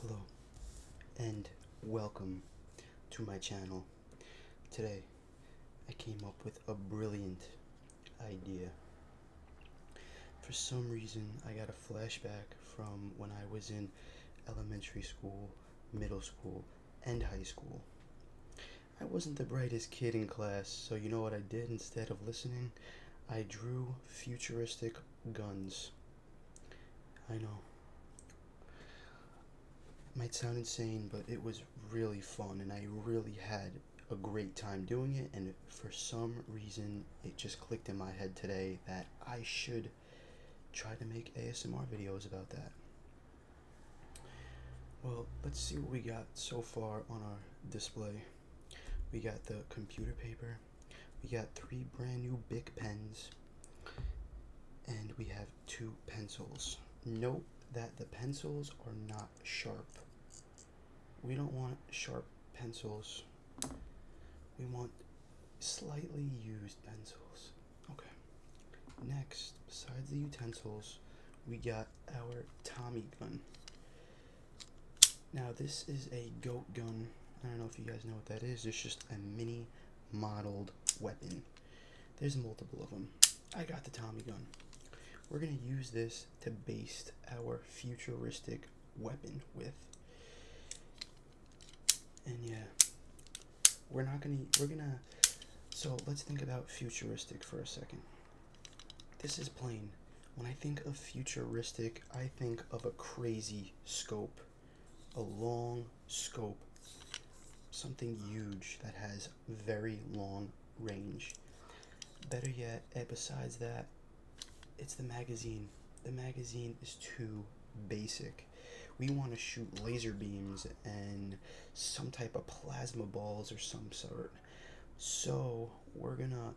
Hello and welcome to my channel. Today I came up with a brilliant idea. For some reason, I got a flashback from when I was in elementary school, middle school, and high school. I wasn't the brightest kid in class, so you know what I did instead of listening? I drew futuristic guns. I know. It might sound insane, but it was really fun and I really had a great time doing it, and for some reason, it just clicked in my head today that I should try to make ASMR videos about that. Well, let's see what we got so far on our display. We got the computer paper, we got three brand new big pens, and we have two pencils. Note that the pencils are not sharp. We don't want sharp pencils. We want slightly used pencils. Okay. Next, besides the utensils, we got our Tommy gun. Now, this is a goat gun. I don't know if you guys know what that is. It's just a mini modeled weapon. There's multiple of them. I got the Tommy gun. We're going to use this to baste our futuristic weapon with. And yeah, we're not going to, we're going to, so let's think about futuristic for a second. This is plain. When I think of futuristic, I think of a crazy scope, a long scope, something huge that has very long range. Better yet, eh, besides that, it's the magazine. The magazine is too basic. We want to shoot laser beams and some type of plasma balls or some sort. So we're gonna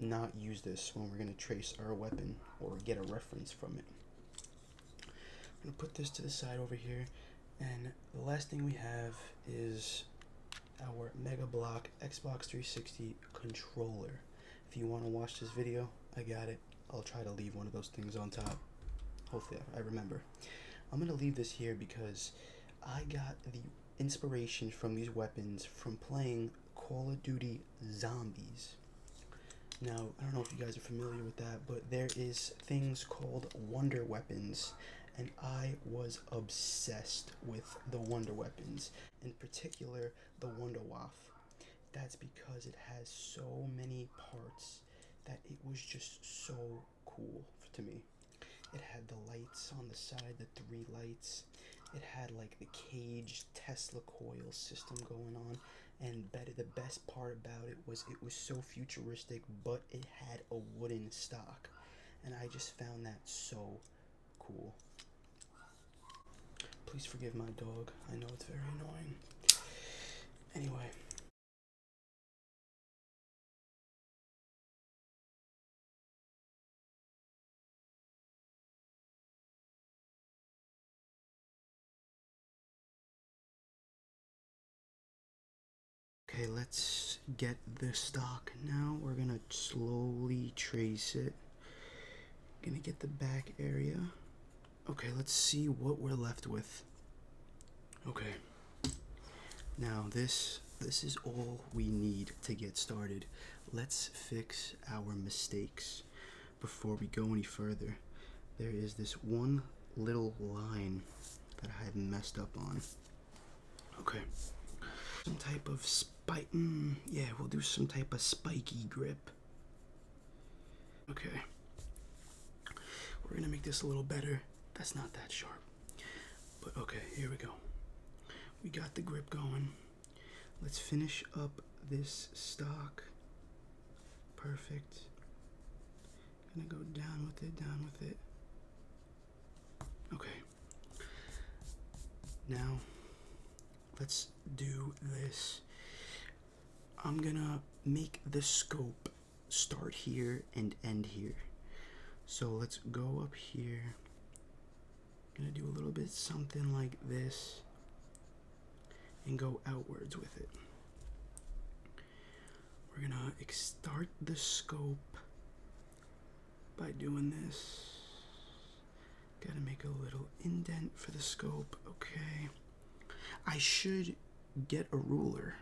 not use this when we're gonna trace our weapon or get a reference from it. I'm gonna put this to the side over here and the last thing we have is our Mega Block Xbox 360 controller. If you want to watch this video, I got it. I'll try to leave one of those things on top. Hopefully I remember. I'm going to leave this here because I got the inspiration from these weapons from playing Call of Duty Zombies. Now, I don't know if you guys are familiar with that, but there is things called wonder weapons and I was obsessed with the Wonder Weapons, in particular the Wonder Waff. That's because it has so many parts that it was just so cool to me. It had the lights on the side, the three lights. It had like the caged Tesla coil system going on. And better, the best part about it was it was so futuristic, but it had a wooden stock, and I just found that so cool. Please forgive my dog. I know it's very annoying. Anyway. Okay, let's get the stock now. We're gonna slowly trace it. Gonna get the back area. Okay, let's see what we're left with. Okay. Now this this is all we need to get started. Let's fix our mistakes before we go any further. There is this one little line that I messed up on. Okay. Some type of spike. Mm, yeah, we'll do some type of spiky grip. Okay. We're gonna make this a little better. That's not that sharp. But okay, here we go. We got the grip going. Let's finish up this stock. Perfect. Gonna go down with it, down with it. Okay. Now, let's do this. I'm gonna make the scope start here and end here. So let's go up here. gonna do a little bit something like this and go outwards with it. We're gonna start the scope by doing this. Gotta make a little indent for the scope. Okay. I should get a ruler.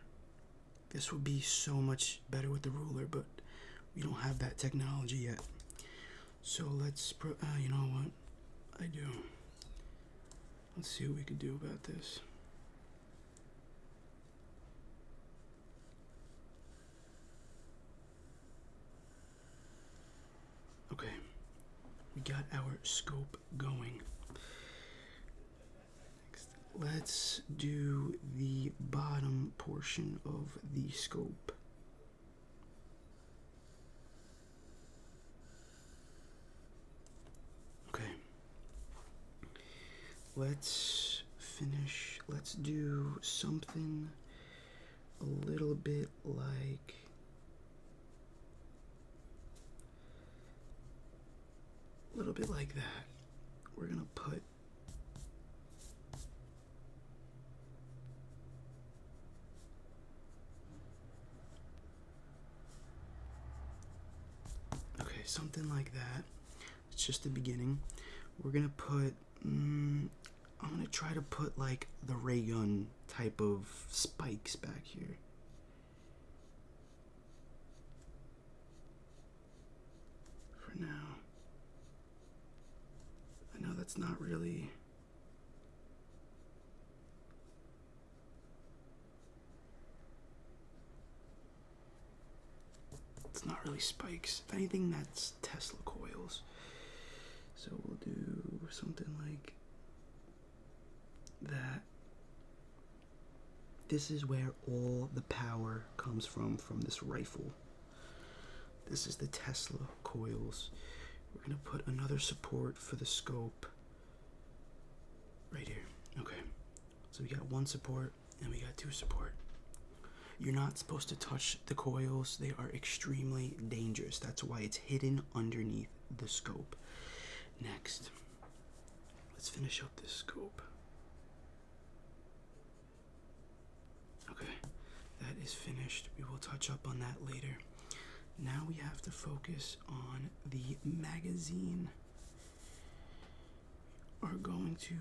This would be so much better with the ruler, but we don't have that technology yet. So let's, uh, you know what? I do. Let's see what we can do about this. Okay, we got our scope going. Next, let's do the bottom portion of the scope. Okay, Let's finish. Let's do something a little bit like. A little bit like that. We're going to put. Okay, something like that. It's just the beginning. We're gonna put. Mm, I'm gonna try to put like the ray gun type of spikes back here. For now. I know that's not really. It's not really spikes. If anything, that's Tesla coils. So we'll do something like that. This is where all the power comes from, from this rifle. This is the Tesla coils. We're going to put another support for the scope right here. Okay. So we got one support and we got two support. You're not supposed to touch the coils. They are extremely dangerous. That's why it's hidden underneath the scope. Next, let's finish up this scope. Okay, that is finished. We will touch up on that later. Now we have to focus on the magazine are going to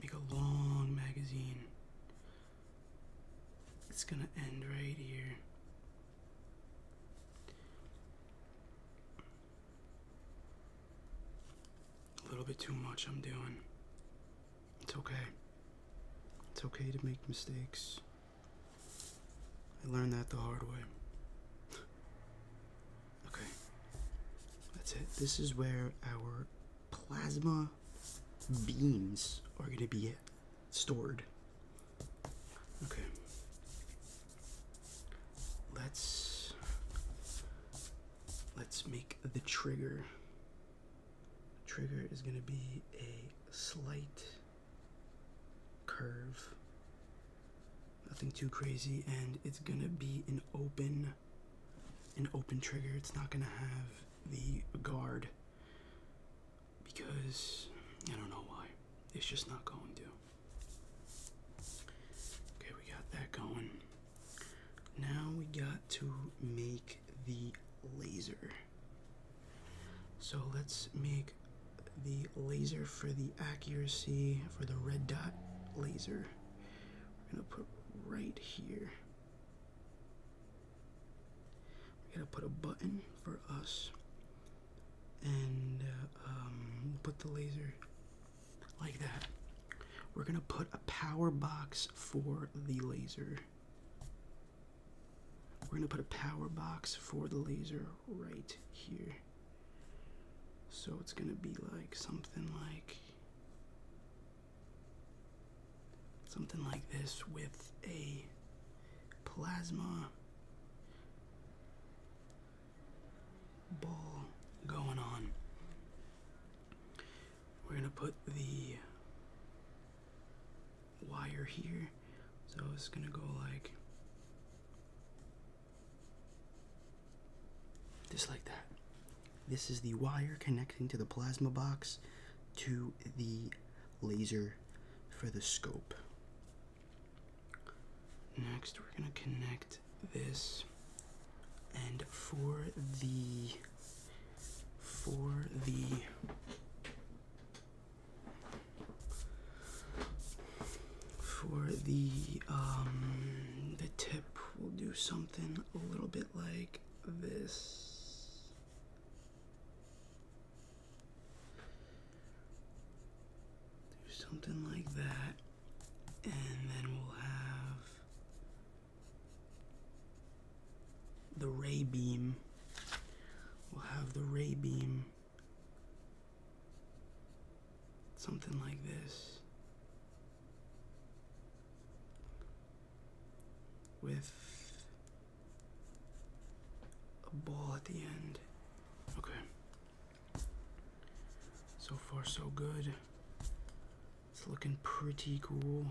make a long magazine. It's going to end right here. A little bit too much I'm doing. It's okay. It's okay to make mistakes. I learned that the hard way. Okay, that's it. This is where our plasma beams are going to be stored. Okay. Let's let's make the trigger. trigger is going to be a slight curve. Nothing too crazy, and it's gonna be an open, an open trigger. It's not gonna have the guard because I don't know why. It's just not going to. Okay, we got that going. Now we got to make the laser. So let's make the laser for the accuracy for the red dot laser. We're going to put right here. We're going to put a button for us and uh, um, put the laser like that. We're going to put a power box for the laser. We're gonna put a power box for the laser right here. So it's gonna be like something like something like this with a plasma ball going on. We're gonna put the wire here. So it's gonna go like just like that. This is the wire connecting to the plasma box to the laser for the scope. Next, we're gonna connect this and for the for the for the um, the tip, we'll do something a little bit like this. Do something like that, and then we'll have the ray beam. We'll have the ray beam something like this with a ball at the end. Okay. So far, so good. It's looking pretty cool.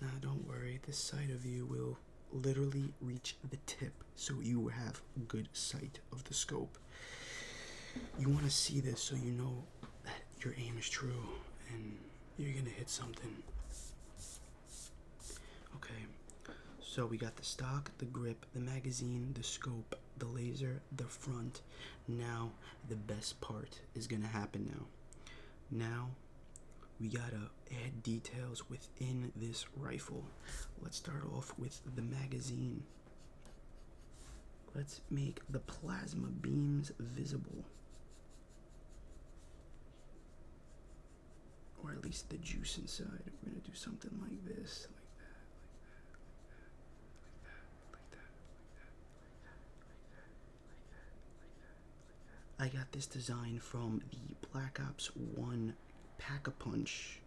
Now, don't worry, this side of you will literally reach the tip so you have good sight of the scope. You want to see this so you know that your aim is true and you're going to hit something. Okay, so we got the stock, the grip, the magazine, the scope, the laser, the front. Now, the best part is gonna happen now. Now we gotta add details within this rifle. Let's start off with the magazine. Let's make the plasma beams visible. Or at least the juice inside. We're gonna do something like this, like that, like that, like that, like that, like that, I got this design from the Black Ops 1 Pack a Punch.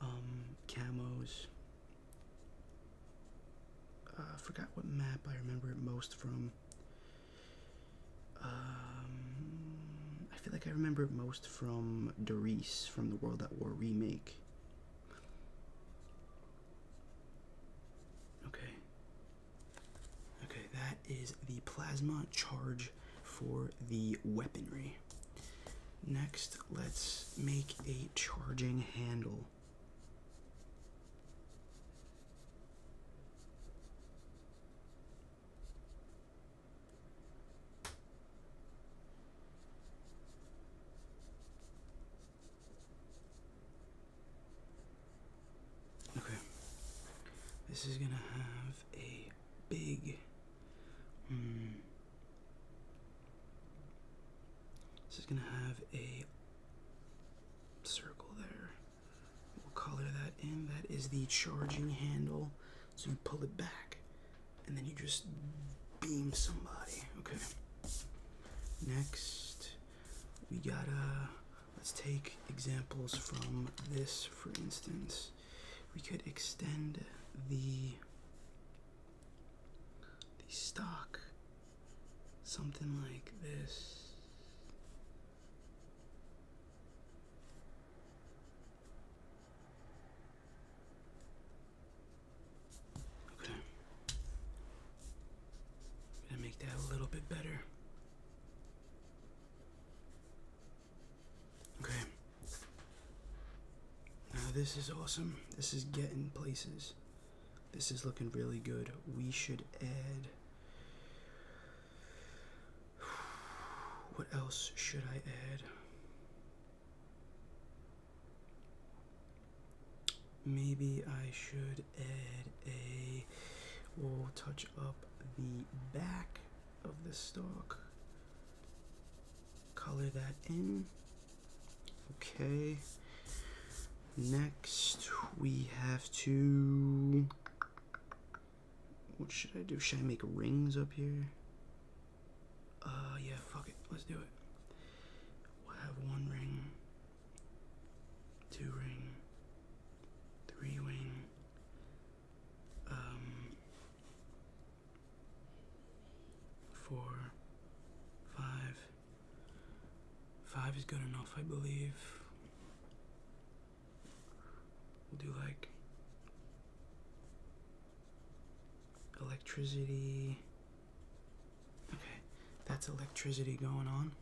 Um, camos. Uh, I forgot what map I remember it most from. Um, I feel like I remember it most from Doris from the World at War remake. Okay. Okay, that is the plasma charge for the weaponry. Next, let's make a charging handle. Okay. This is gonna have a big. Hmm. this is gonna have a circle there. We'll color that in. That is the charging handle. So you pull it back, and then you just beam somebody. Okay. Next, we gotta, let's take examples from this, for instance. We could extend the, the stock, something like this. Okay. gonna make that a little bit better. Okay. Now this is awesome. This is getting places. This is looking really good. We should add. What else should I add? Maybe I should add a. we touch up the back of the stalk. Color that in. Okay. Next, we have to. What should I do? Should I make rings up here? Uh, yeah, fuck it. Let's do it. We'll have one ring two ring, three ring, um, four, five. Five is good enough, I believe. We'll like electricity. Okay, that's electricity going on.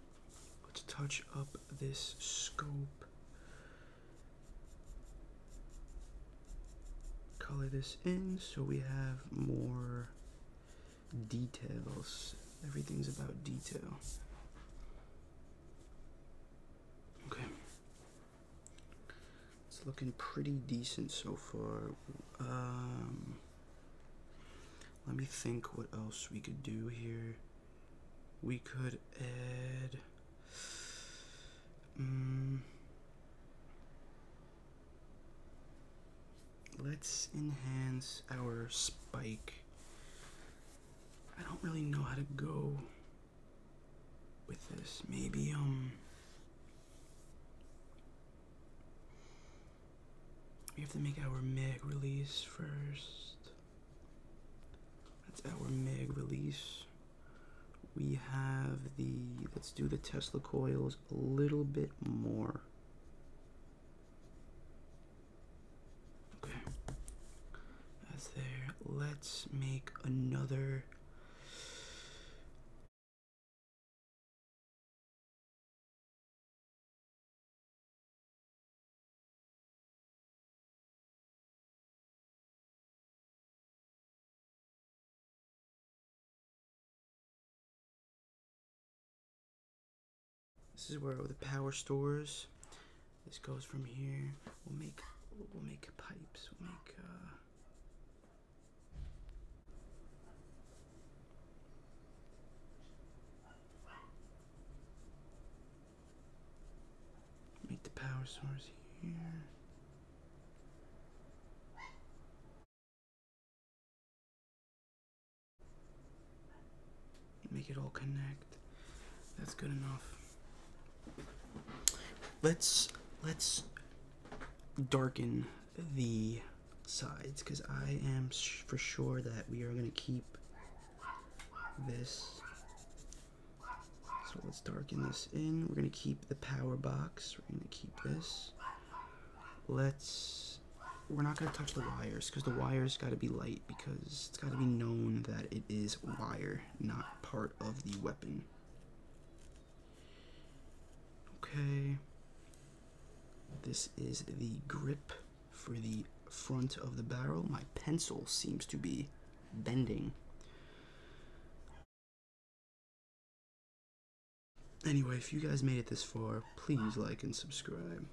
Let's touch up this scope. Color this in so we have more details. Everything's about detail. Okay. It's looking pretty decent so far. Um, let me think what else we could do here. We could add. Mm, let's enhance our spike. I don't really know how to go with this. Maybe, um. We have to make our MIG release first. That's our MIG release. We have the, let's do the Tesla coils a little bit more. Okay. That's there. Let's make another this is where the power stores. This goes from here. We'll make we'll make pipes. We'll make uh, Make the power source here. Make it all connect. That's good enough. Let's let's darken the sides because I am for sure that we are going to keep this. So let's darken this in. We're going to keep the power box. We're going to keep this. Let's... We're not going to touch the wires because the wires got to be light because it's got to be known that it is wire, not part of the weapon. Okay. This is the grip for the front of the barrel. My pencil seems to be bending. Anyway, if you guys made it this far, please like and subscribe.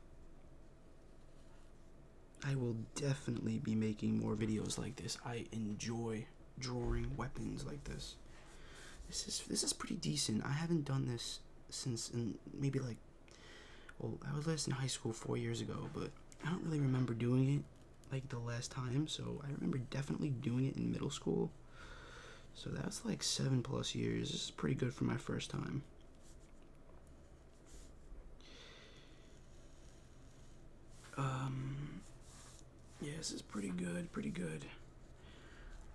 I will definitely be making more videos like this. I enjoy drawing weapons like this. This is this is pretty decent. I haven't done this since maybe like well I was last in high school four years ago, but I don't really remember doing it like the last time. So I remember definitely doing it in middle school. So that's like seven plus years. This is pretty good for my first time. Um, yeah, this is pretty good, pretty good.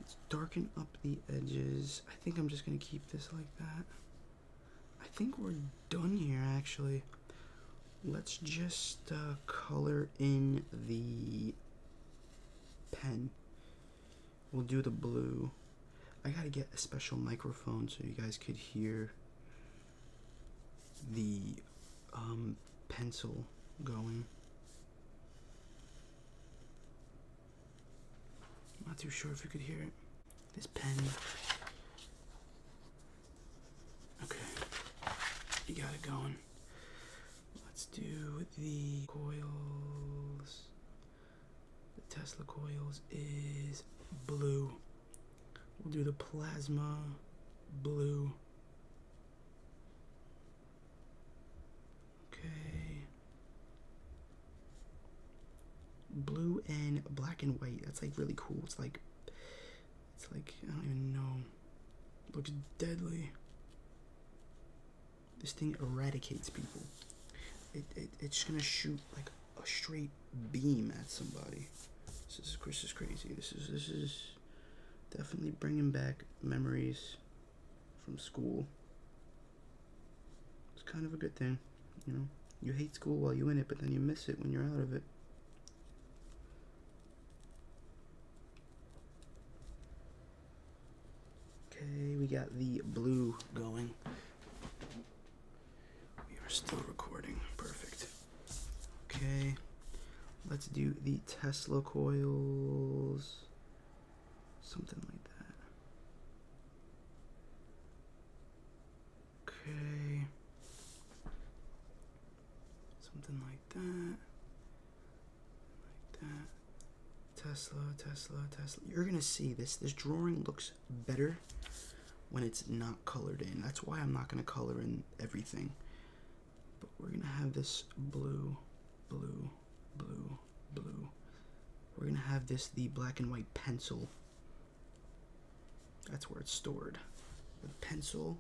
Let's darken up the edges. I think I'm just going to keep this like that. I think we're done here, actually. Let's just uh, color in the pen. We'll do the blue. I gotta get a special microphone so you guys could hear the um, pencil going. I'm not too sure if you could hear it. This pen. Okay. You got it going. Let's do the coils. The Tesla coils is blue. We'll do the plasma blue. Okay. Blue and black and white. That's like really cool. It's like it's like I don't even know. looks deadly. This thing eradicates people. It, it it's gonna shoot like a straight beam at somebody. This is Chris is crazy. This is this is definitely bringing back memories from school. It's kind of a good thing, you know. You hate school while you're in it, but then you miss it when you're out of it. Okay, we got the blue going. We are still recording. Perfect. Okay, let's do the Tesla coils. Something like that. Okay. Something like that. Like that. Tesla, Tesla, Tesla. You're gonna see this. This drawing looks better when it's not colored in. That's why I'm not gonna color in everything. But we're gonna have this blue, blue, blue, blue. We're gonna have this the black and white pencil. That's where it's stored. The pencil,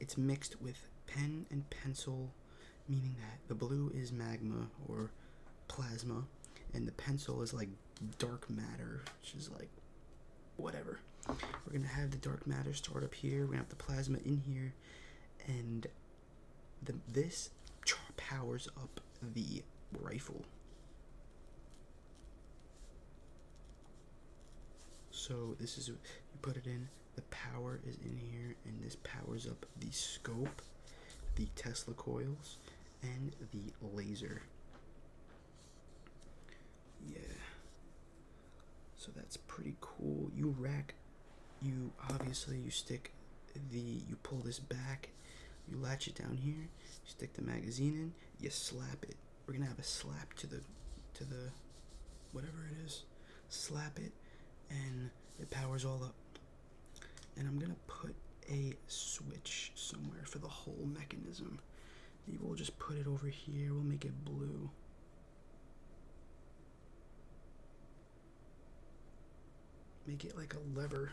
it's mixed with pen and pencil, meaning that the blue is magma or plasma, and the pencil is like dark matter, which is like whatever. We're gonna have the dark matter stored up here. We're gonna have the plasma in here, and this powers up the rifle. So this is you put it in. The power is in here, and this powers up the scope, the Tesla coils, and the laser. Yeah. So that's pretty cool. You rack you obviously you stick the you pull this back you latch it down here you stick the magazine in you slap it we're gonna have a slap to the to the whatever it is slap it and it powers all up and i'm gonna put a switch somewhere for the whole mechanism we'll just put it over here we'll make it blue Make it like a lever.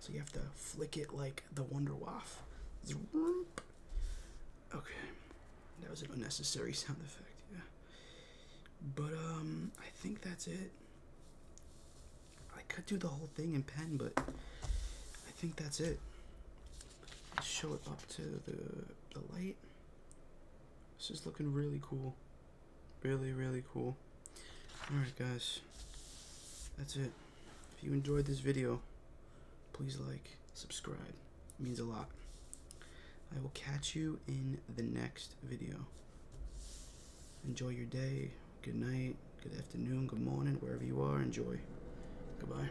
So you have to flick it like the Wonder Waff. Okay. That was an unnecessary sound effect, yeah. But um I think that's it. I could do the whole thing in pen, but I think that's it. show it up to the the light. This is looking really cool really, really cool. Alright, guys. That's it. If you enjoyed this video, please like, subscribe. means a lot. I will catch you in the next video. Enjoy your day. Good night. Good afternoon. Good morning. Wherever you are, enjoy. Goodbye.